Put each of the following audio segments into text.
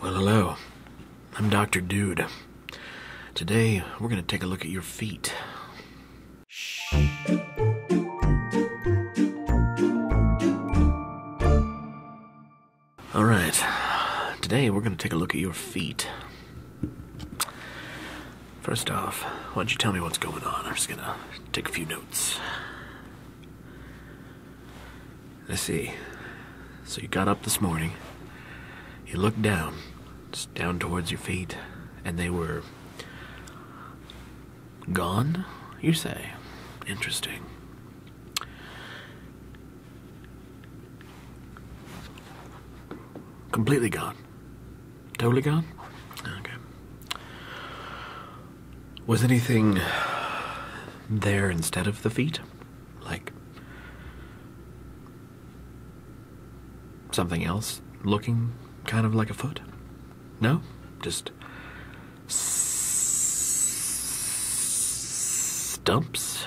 Well, hello. I'm Dr. Dude. Today, we're going to take a look at your feet. Shh. All right. Today, we're going to take a look at your feet. First off, why don't you tell me what's going on? I'm just going to take a few notes. I see. So you got up this morning, you looked down, it's down towards your feet, and they were gone, you say? Interesting. Completely gone. Totally gone? Okay. Was anything there instead of the feet? Like something else looking kind of like a foot? No? Just stumps,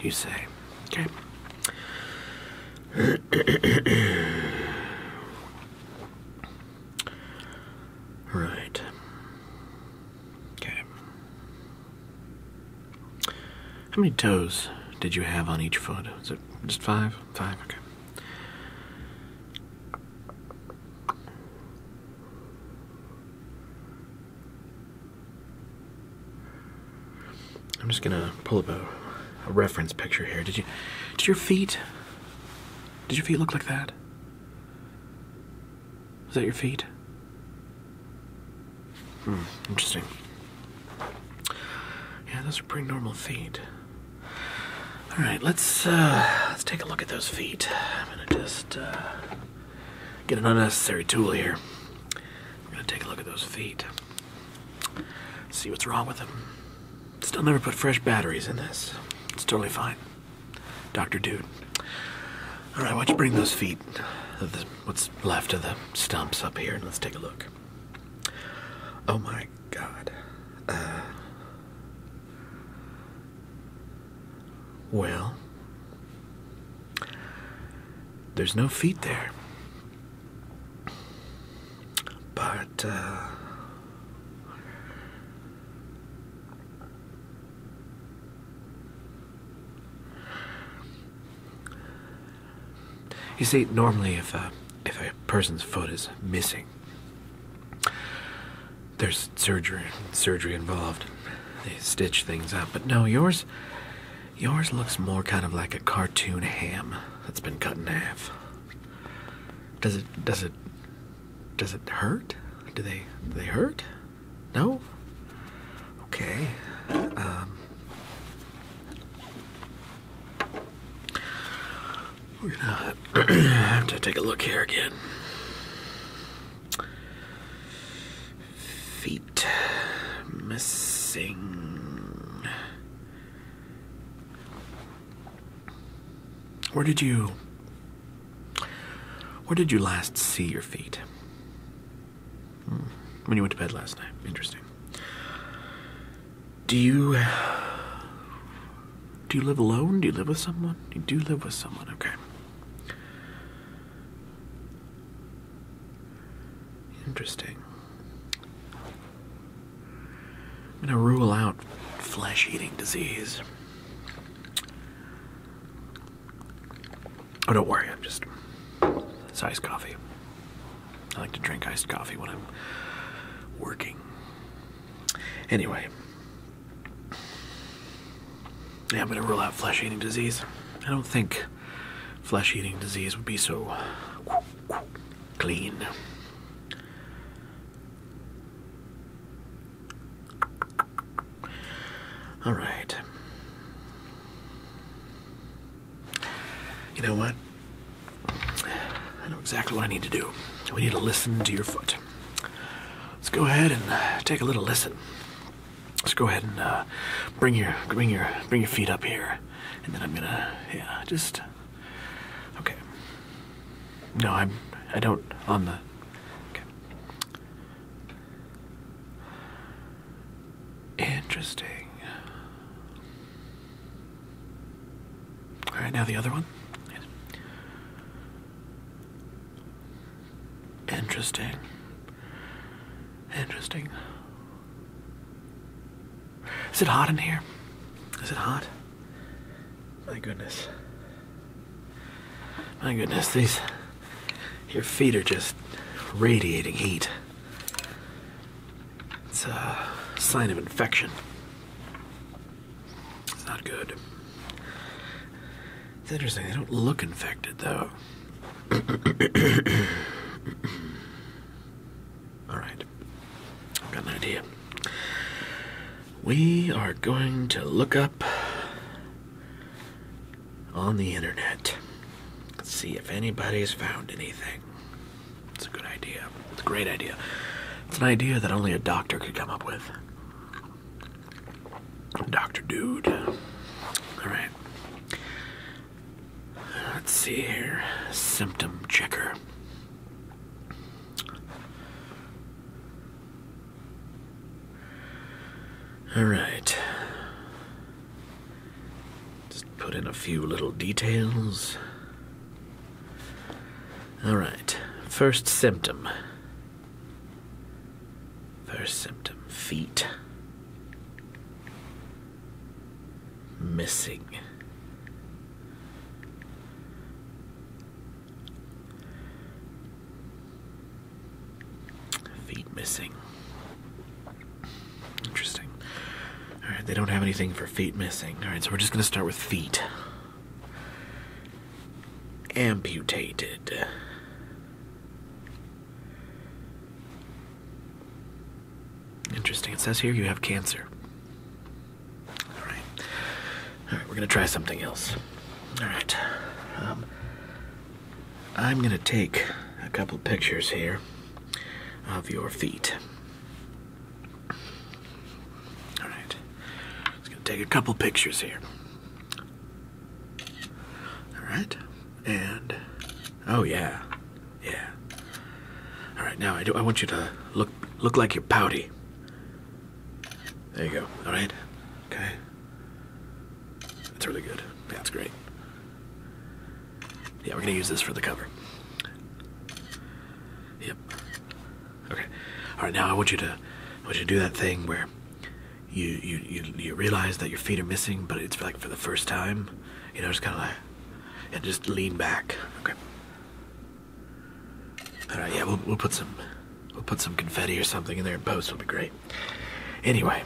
you say. Okay. Right. Okay. How many toes did you have on each foot? Is it just five? Five, okay. I'm just gonna pull up a, reference picture here. Did you did your feet did your feet look like that? Is that your feet? Hmm, interesting. Yeah, those are pretty normal feet. All right, let's uh, let's take a look at those feet. I'm gonna just uh, get an unnecessary tool here. I'm gonna take a look at those feet. See what's wrong with them. Still never put fresh batteries in this. It's totally fine. Dr. Dude. All right, why don't you bring those feet, of the, what's left of the stumps up here, and let's take a look. Oh my God. Uh, well, there's no feet there. But, uh, you see, normally if a, if a person's foot is missing, there's surgery surgery involved. They stitch things up, but no, yours yours looks more kind of like a cartoon ham that's been cut in half. Does it does it does it hurt? Do they do they hurt? No? Okay. Um. we're gonna have to take a look here again. Feet missing. Where did you Where did you last see your feet? Hmm. When you went to bed last night. Interesting. Do you Do you live alone? Do you live with someone? You do live with someone. Okay. Interesting. I'm going to rule out flesh eating disease. Oh, don't worry, I'm just. It's iced coffee. I like to drink iced coffee when I'm working. Anyway. Yeah, I'm going to rule out flesh eating disease. I don't think flesh eating disease would be so clean. All right. You know what? I know exactly what I need to do. We need to listen to your foot. Let's go ahead and uh, take a little listen. Let's go ahead and uh, bring your bring your bring your feet up here, and then I'm gonna yeah just Okay. No, I'm. I don't. On the. Interesting. All right, now the other one. Interesting. Interesting. Is it hot in here? Is it hot? My goodness. My goodness, these. Your feet are just radiating heat. It's a sign of infection. It's not good. It's interesting, they don't look infected though. Alright, I've got an idea. We are going to look up on the internet. Let's see if anybody's found anything. It's a good idea. It's a great idea. It's an idea that only a doctor could come up with. Dr. Dude. Alright. Let's see here. Symptom checker. All right. Just put in a few little details. All right. First symptom. First symptom feet missing. Feet missing. Interesting. Alright, they don't have anything for feet missing. Alright, so we're just going to start with feet. Amputated. Interesting. It says here you have cancer. All right. All right, we're going to try something else. All right. Um, I'm going to take a couple pictures here of your feet. All right. Just going to take a couple pictures here. All right and oh yeah, yeah. All right, now I do. I want you to look look like you're pouty. There you go. All right. Okay. That's really good. that's great. Yeah, we're gonna use this for the cover. Yep. Okay. All right, now I want you to I want you to do that thing where you you you, realize that your feet are missing, but it's like for the first time. You know, just kind of like, and just lean back. Okay. All right. Uh, yeah, we'll we'll put some we'll put some confetti or something in there in post. It'll be great. Anyway,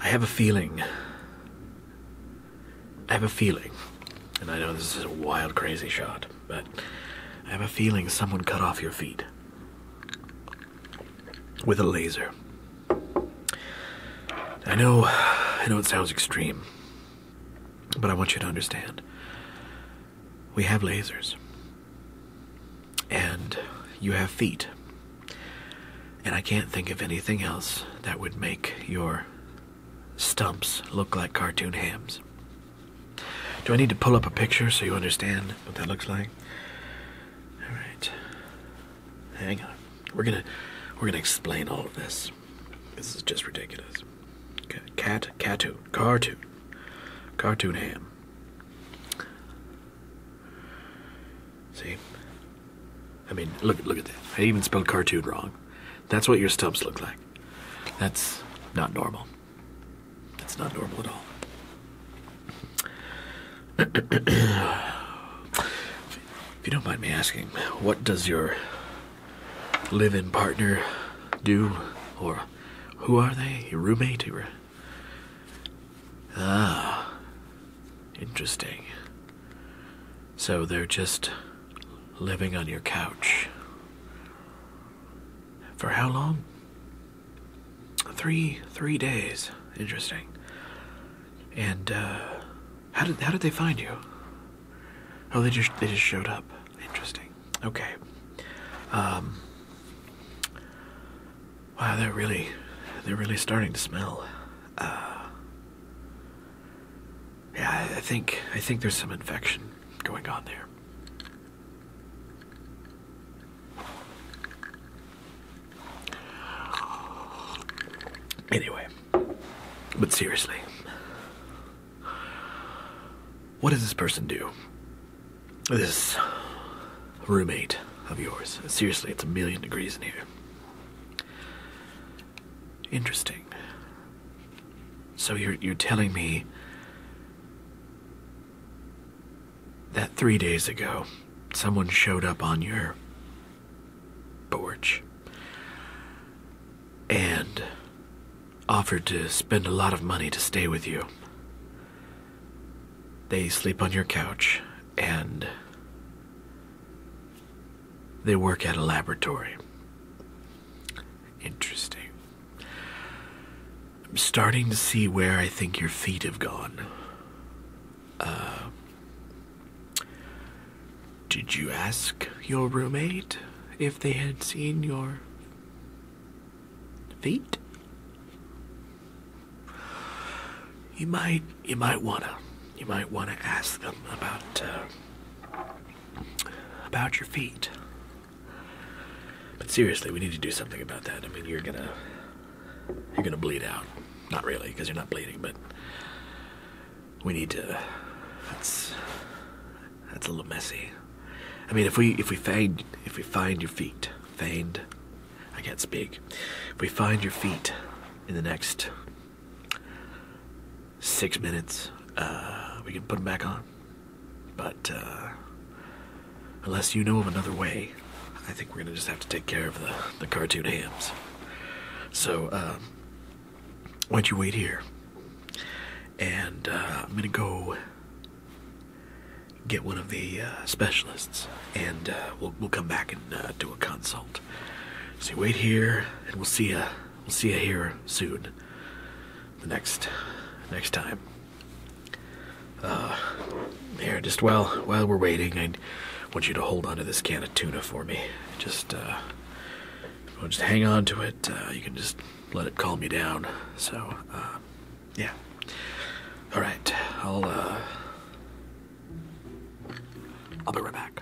I have a feeling. I have a feeling, and I know this is a wild, crazy shot but I have a feeling someone cut off your feet with a laser. I know, I know it sounds extreme, but I want you to understand. We have lasers, and you have feet, and I can't think of anything else that would make your stumps look like cartoon hams. Do I need to pull up a picture so you understand what that looks like? All right. Hang on. We're going to we're going to explain all of this. This is just ridiculous. Cat cartoon cartoon cartoon ham. See? I mean, look look at that. I even spelled cartoon wrong. That's what your stubs look like. That's not normal. That's not normal at all. if you don't mind me asking, what does your living partner do? Or who are they? Your roommate? Or... Ah, interesting. So they're just living on your couch. For how long? Three three days. Interesting. And uh, how did how did they find you? Oh, they just they just showed up. Interesting. Okay. Um. Wow, they're really they're really starting to smell. Uh, yeah, I think I think there's some infection going on there. Anyway, but seriously, what does this person do? This roommate of yours. Seriously, it's a million degrees in here. Interesting. So you're you're telling me that 3 days ago someone showed up on your porch and offered to spend a lot of money to stay with you. They sleep on your couch and they work at a laboratory. Interesting. I'm starting to see where I think your feet have gone. Uh, did you ask your roommate if they had seen your feet? You might, you might wanna, you might wanna ask them about uh, about your feet. But seriously, we need to do something about that. I mean, you're gonna you're gonna bleed out. Not really, because you're not bleeding, but we need to. That's that's a little messy. I mean, if we if we find if we find your feet, find I can't speak. If we find your feet in the next six minutes. Uh, we can put them back on. But uh, unless you know of another way, I think we're gonna just have to take care of the the cartoon hams. So um, why don't you wait here? And uh, I'm gonna go get one of the specialists, and we'll we'll come back and do a consult. So you wait here, and we'll see you. We'll see ya here soon. The next, next time. Uh, here, just while while we're waiting, I want you to hold onto this can of tuna for me. Just, uh, just hang on to it. Uh, you can just let it calm you down. So, uh, yeah. All right, I'll, uh, I'll be right back.